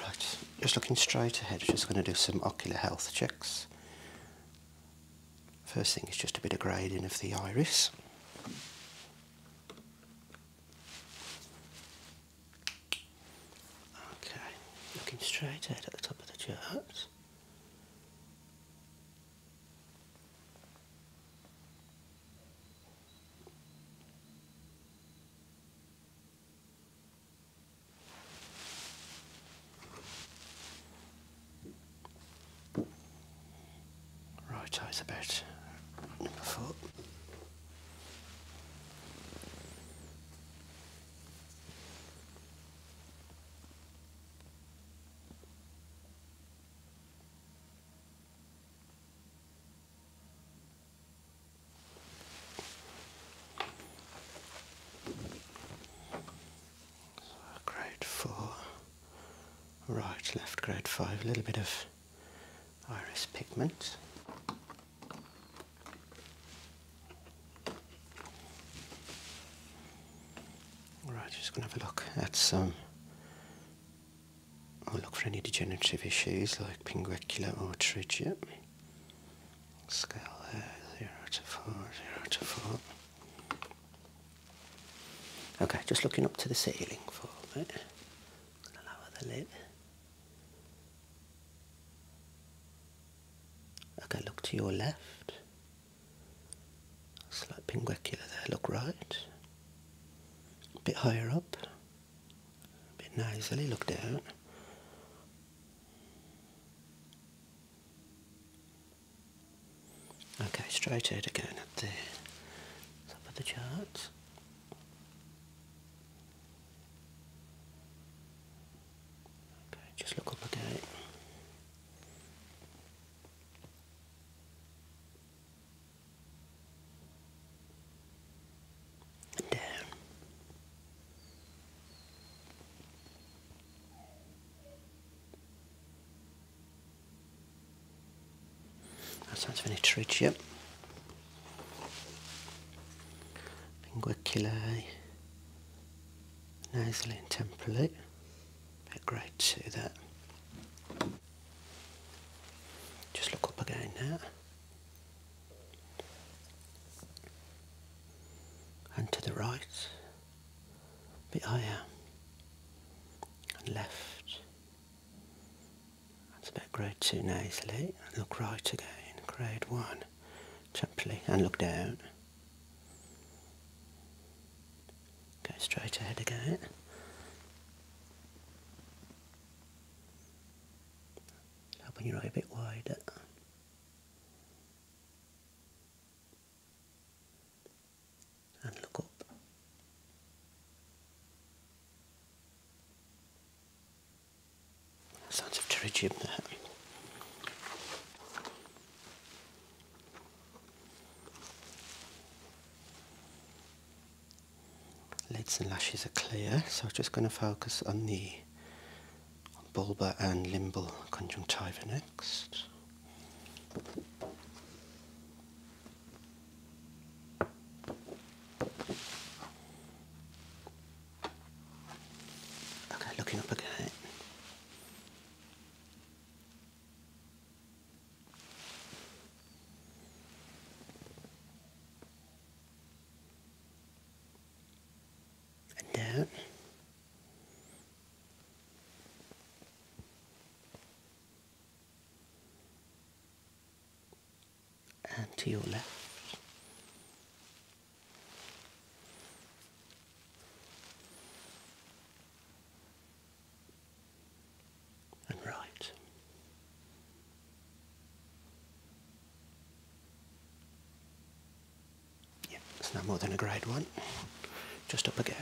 Right, just looking straight ahead, just going to do some ocular health checks. First thing is just a bit of grading of the iris. Okay, looking straight ahead at the top of the chart. Right, it's about number so grade 4, right, left grade 5, a little bit of iris pigment. Right, just going to have a look at some I'll oh, look for any degenerative issues like pinguicula or trigea. Scale there, 0 to four, zero to 4. Okay, just looking up to the ceiling for a bit. I'm lower the lid. Okay, look to your left. Slight pinguicula there, look right. A bit higher up bit nicely looked out. Okay, straight ahead again at the top of the chart. Okay, just look up again down. That sounds very rich, yep. Pinguiculae, nasally and temporally. Bit great to that. Just look up again now and to the right, but I am, and left. That's about grade two nasally, and look right again, grade one, gently, and look down. Go straight ahead again. Open your eye a bit wider. And look up. Sounds of pterygium there. Lids and lashes are clear, so I'm just going to focus on the bulbar and limbal conjunctiva next. Okay, looking up again and And to your left and right. Yep, it's no more than a grade one. Just up again.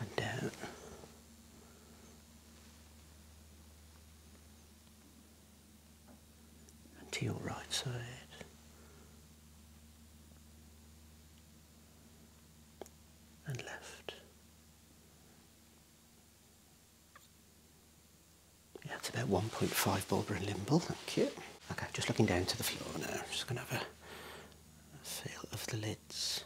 And down and to your right side. And left. Yeah, it's about 1.5 bulbar and limbal, thank you. Okay, just looking down to the floor now. just going to have a, feel of the lids.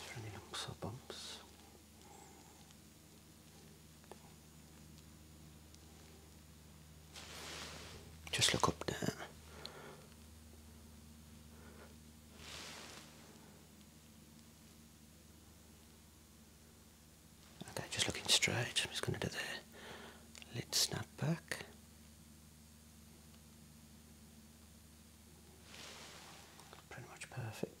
Just running up bumps. Just look up there. Okay, just looking straight. I'm just going to do the lid snap back. Pretty much perfect.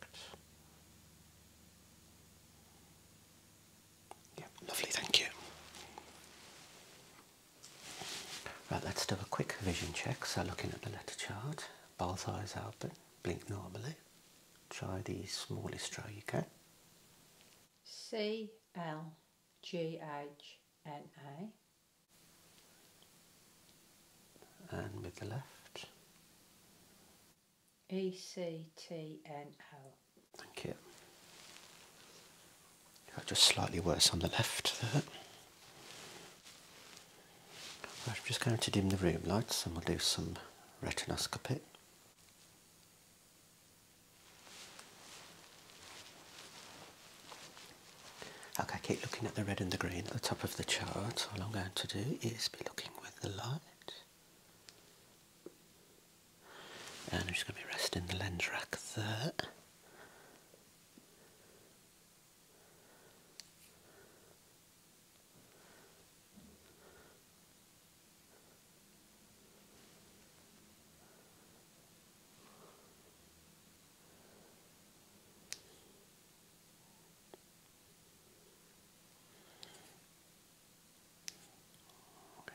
Yeah, lovely, thank you. Right, let's do a quick vision check. So looking at the letter chart, both eyes open, blink normally. Try the smallest row you can. C L G H N A and with the left. E C T N L. Thank you. just slightly worse on the left there. I'm just going to dim the room lights and we'll do some retinoscopy. Okay, keep looking at the red and the green at the top of the chart. All I'm going to do is looking with the light. And I'm just going to be resting the lens rack there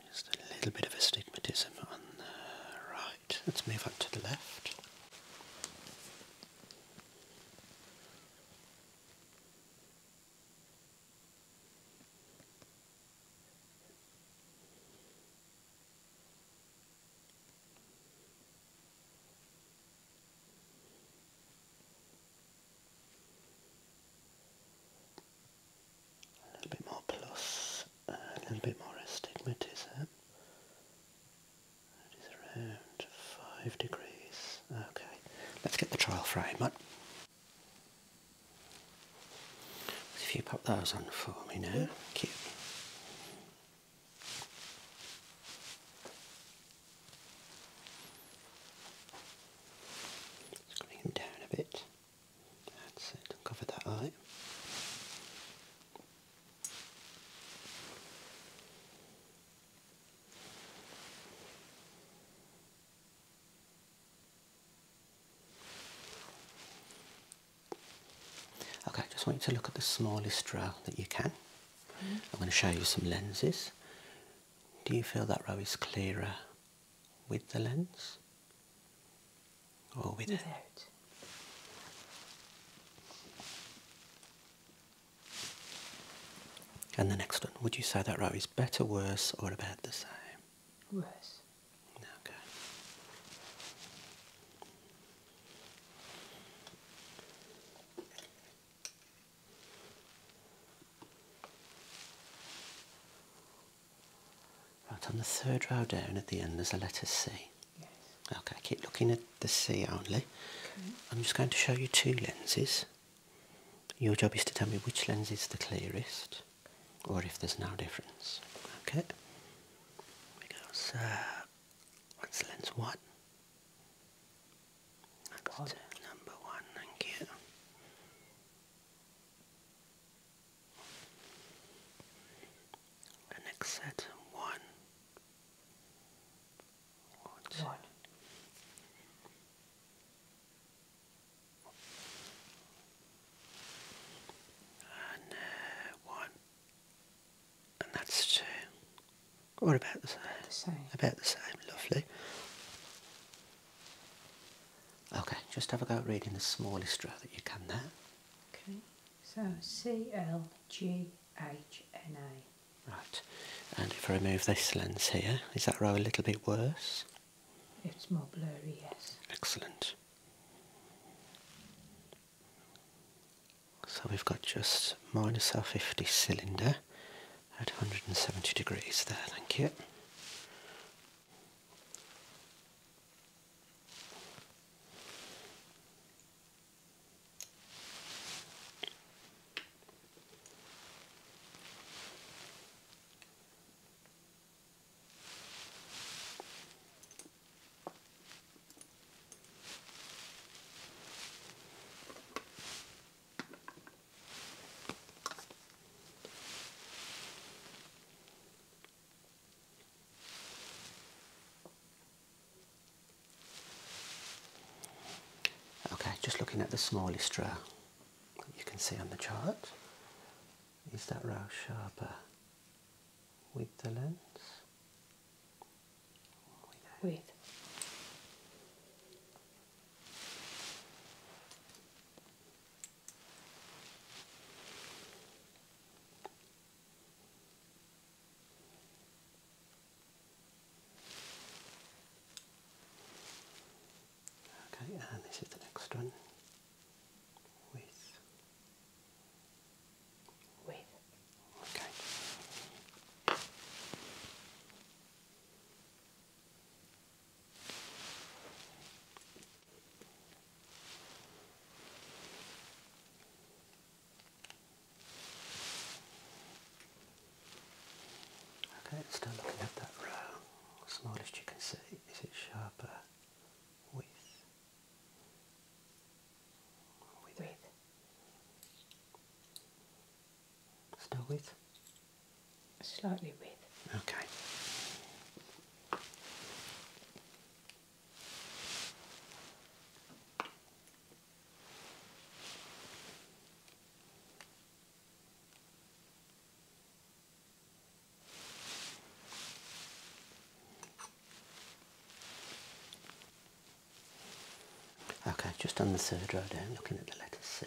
just a little bit of astigmatism on the right. Let's move on to the left. A bit more plus, uh, a little bit more astigmatism. That is around 5 degrees. Okay, let's get the trial frame on. If you pop those on for me now, cute. Just bring him down a bit. That's it. Cover that eye. Okay, I just want you to look at the smallest row that you can. I'm going to show you some lenses. Do you feel that row is clearer with the lens or without? without. And the next one, would you say that row is better, worse, or about the same? Worse. Okay. Right, on the third row down at the end there's a letter C. Yes. Okay, keep looking at the C only. I'm just going to show you two lenses. Your job is to tell me which lens is the clearest or if there's no difference. Okay. we go. So lens one. That's God. number one, thank you. The next set, one. Uh, one. one. And one. And that's two. Or about The same. About the same, lovely. Okay, just have a go at reading the smallest row that you can there. Okay, so C L G H N A. Right, and if I remove this lens here, is that row a little bit worse? It's more blurry, yes. Excellent. So we've got just minus R50 cylinder at 170 degrees there, thank you. Okay, just looking at the smallest row you can see on the chart. Is that row sharper with the lens? Wait. Okay, and this is the next one with with. Okay. Okay, still looking at that row. Small you can see, is it sharper with we breathe. Still with? Slightly with. Okay. Okay, just on the third row down, looking at the letter C.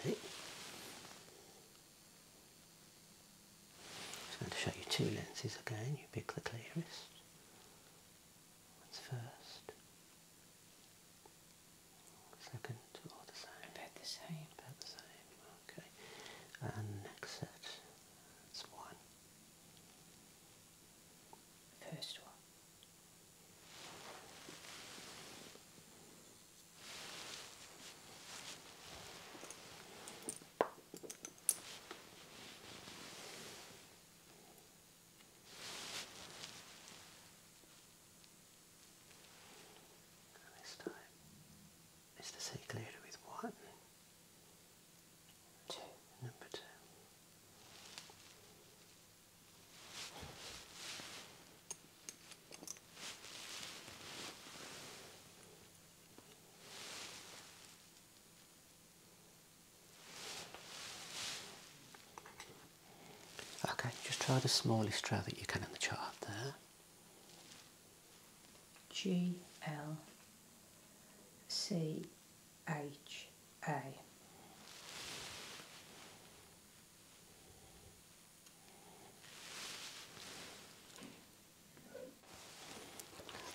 Just going to show you two lenses again. You pick the clearest. That's first. Second, About the same. About the same. Okay. And next set. That's one. First one. And this time, Mr. Secluded with one two, number two. Okay, just try the smallest row that you can in the chart there. G L C H A.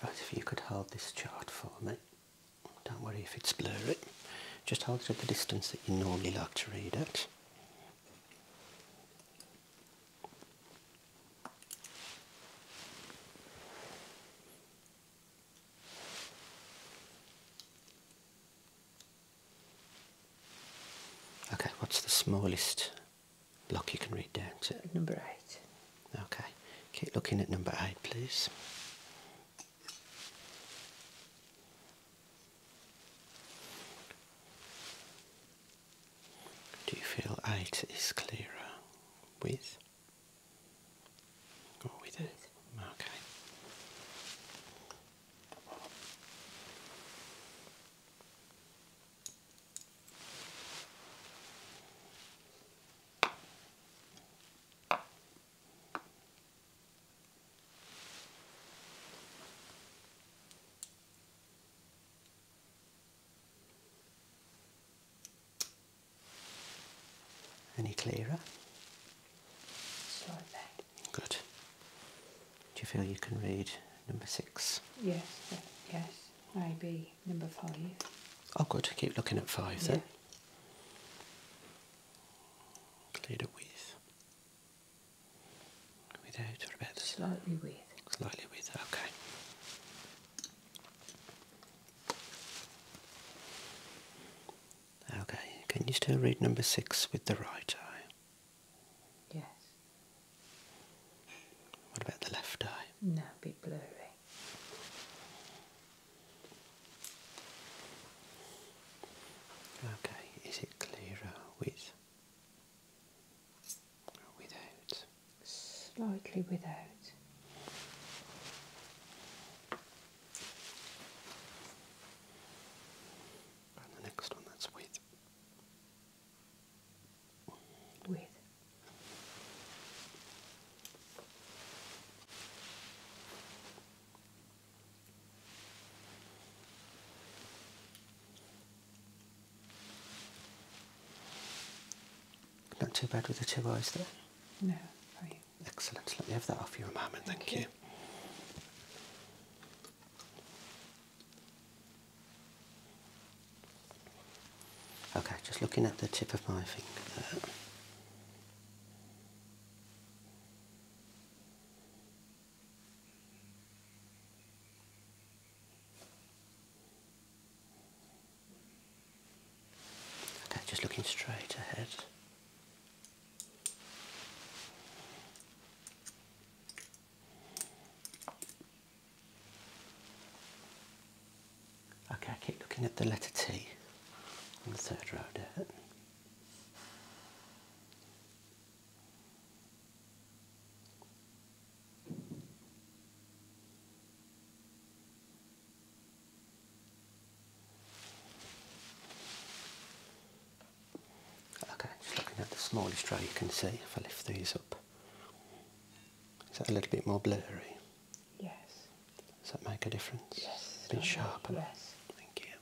Right, if you could hold this chart for me. Don't worry if it's blurry. Just hold it at the distance that you normally like to read at. Okay, what's the smallest block you can read down to? Number eight. Okay, keep looking at number eight, please. Do you feel eight is clearer with? Oh, we did. Okay. Any clearer? Slide Good. Do you feel you can read number six? Yes, yes. Maybe number five. Oh, good. Keep looking at five yeah. then. Cleared with. Without or about the slightly with. Slightly with. Okay. Okay, can you still read number six with the right eye? Yes. What about the left eye? No, a bit blurry. Okay, is it clearer with slightly without. And the next one that's with. With. Not too bad with the two eyes there? No, Excellent. Let me have that off you mum and thank, thank you. Okay, just looking at the tip of my finger there. Okay, just looking straight ahead. Okay, I keep looking at the letter T on the third row there. Okay, just looking at the smallest row you can see if I lift these up. Is that a little bit more blurry? Yes. Does that make a difference? Yes. A bit sharper? Yes. Thank you.